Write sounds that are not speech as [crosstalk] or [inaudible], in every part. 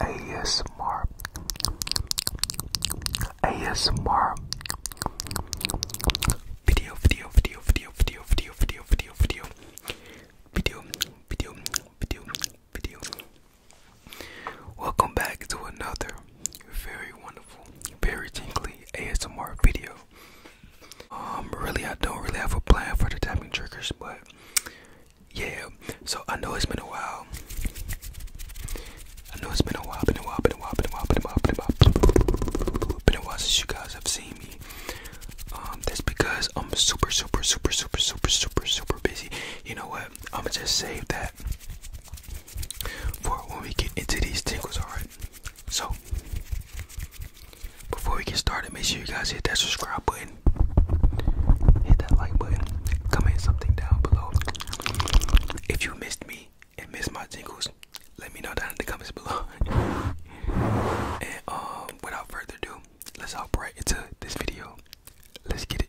ASMR ASMR video video video video video video video video video video video video Welcome back to another very wonderful very tingly ASMR video. Um really I don't really have a plan for the tapping triggers but yeah, so I know it's been a while. I know it's been a while, been a while, been a while, been a while, been a while, been a while, been a while since you guys have seen me. Um, that's because I'm super, super, super, super, super, super, super busy. You know what? I'ma just save that for when we get into these tingles, alright? So, before we get started, make sure you guys hit that subscribe button Hit that like button. Comment something down below. If you missed me and missed my jingles, let me know down in the comments below. [laughs] and um, without further ado, let's hop right into this video. Let's get it.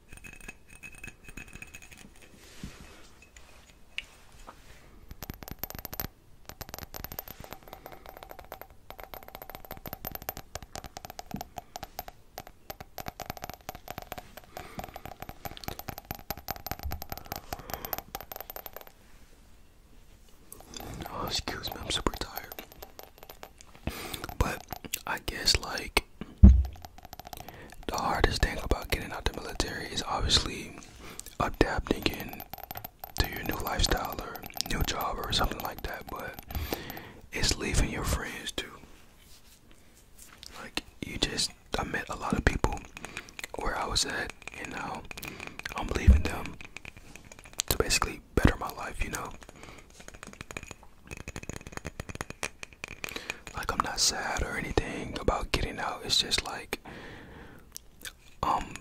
Oh, excuse me, I'm super tired. But I guess like the hardest thing about getting out the military is obviously adapting to your new lifestyle or new job or something like that, but it's leaving your friends too. Like you just I met a lot of people where I was at You know I'm leaving them to basically better my life, you know? Like, I'm not sad or anything about getting out. It's just like, um,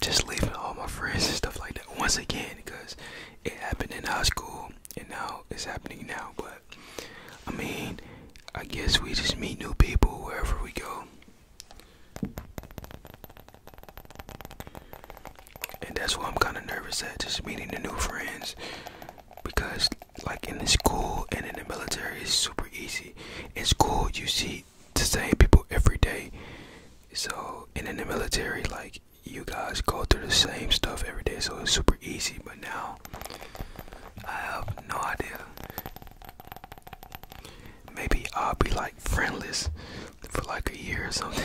just leaving all my friends and stuff like that once again because it happened in high school and now it's happening now. But I mean, I guess we just meet new people wherever we go. And that's why I'm kind of nervous at just meeting the new friends because, like, in the school and in the military, it's super easy. In school, you see the same people every day. So, and in the military, like, you guys go through the same stuff every day, so it's super easy. But now, I have no idea. Maybe I'll be like friendless for like a year or something.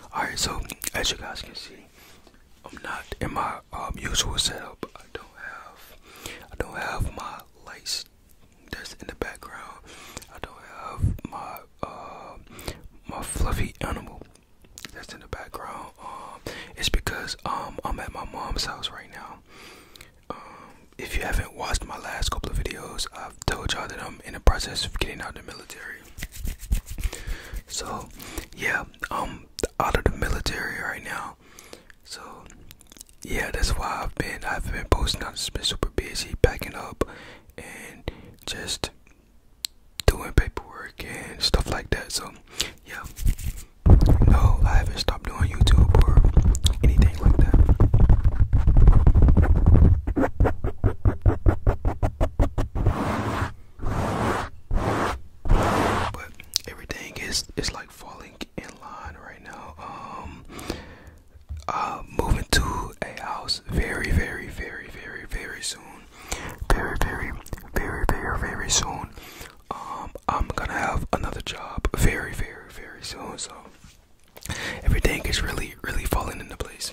All right, so as you guys can see, I'm not in my um, usual setup. I don't have, I don't have my lights that's in the background. I don't have my um, my fluffy animal that's in the background. Um, it's because I'm at my mom's house right now. if you haven't watched my last couple of videos, I've told y'all that I'm in the process of getting out of the military. So, yeah, I'm out of the military right now. So, yeah, that's why I've been I've been posting. I've been super busy packing up and just doing paperwork and stuff like that. So, yeah, no, I haven't stopped doing YouTube or anything like that. But everything is is like falling in line right now. Um uh moving to a house very very very very very soon. Very very very very very soon. Um I'm gonna have another job very very very soon so everything is really, really falling into place.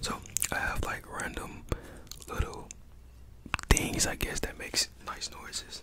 So I have like random little things I guess that makes nice noises.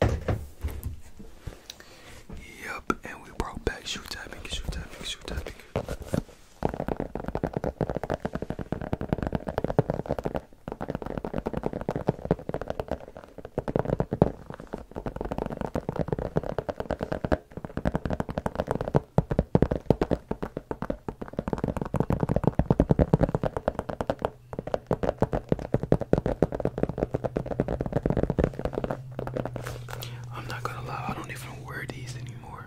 Yep, and we brought back shoe tapping, shoe tapping, shoe tapping. I'm not gonna lie, I don't even wear these anymore.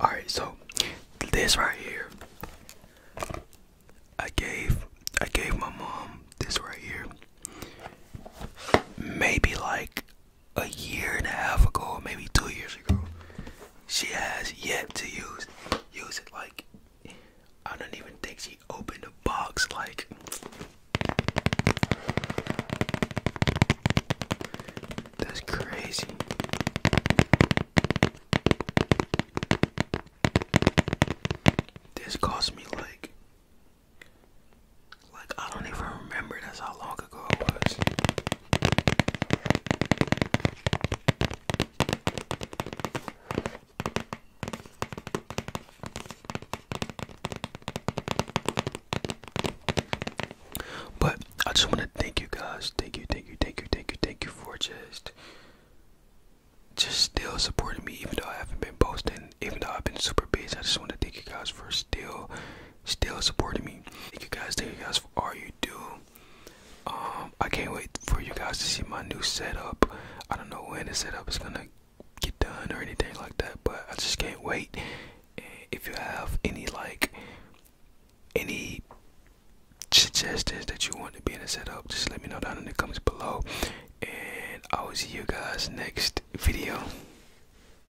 All right, so this right here, I gave I gave my mom this right here, maybe like a year and a half ago, maybe two years ago. She has yet to use use it. Like I don't even think she opened a box. Like that's crazy. This cost me like like I don't even remember. That's how long ago it was. But I just want to thank you guys. Thank you, thank you, thank you, thank you, thank you for just just still supporting me even though I haven't been posting, even though I've been super busy. I just want to thank you guys for still still supporting me. Thank you guys, thank you guys for all you do. Um, I can't wait for you guys to see my new setup. I don't know when the setup is gonna get done or anything like that, but I just can't wait. if you have any like any suggestions that you want to be in the setup, just let me know down in the comments below. And I will see you guys next video.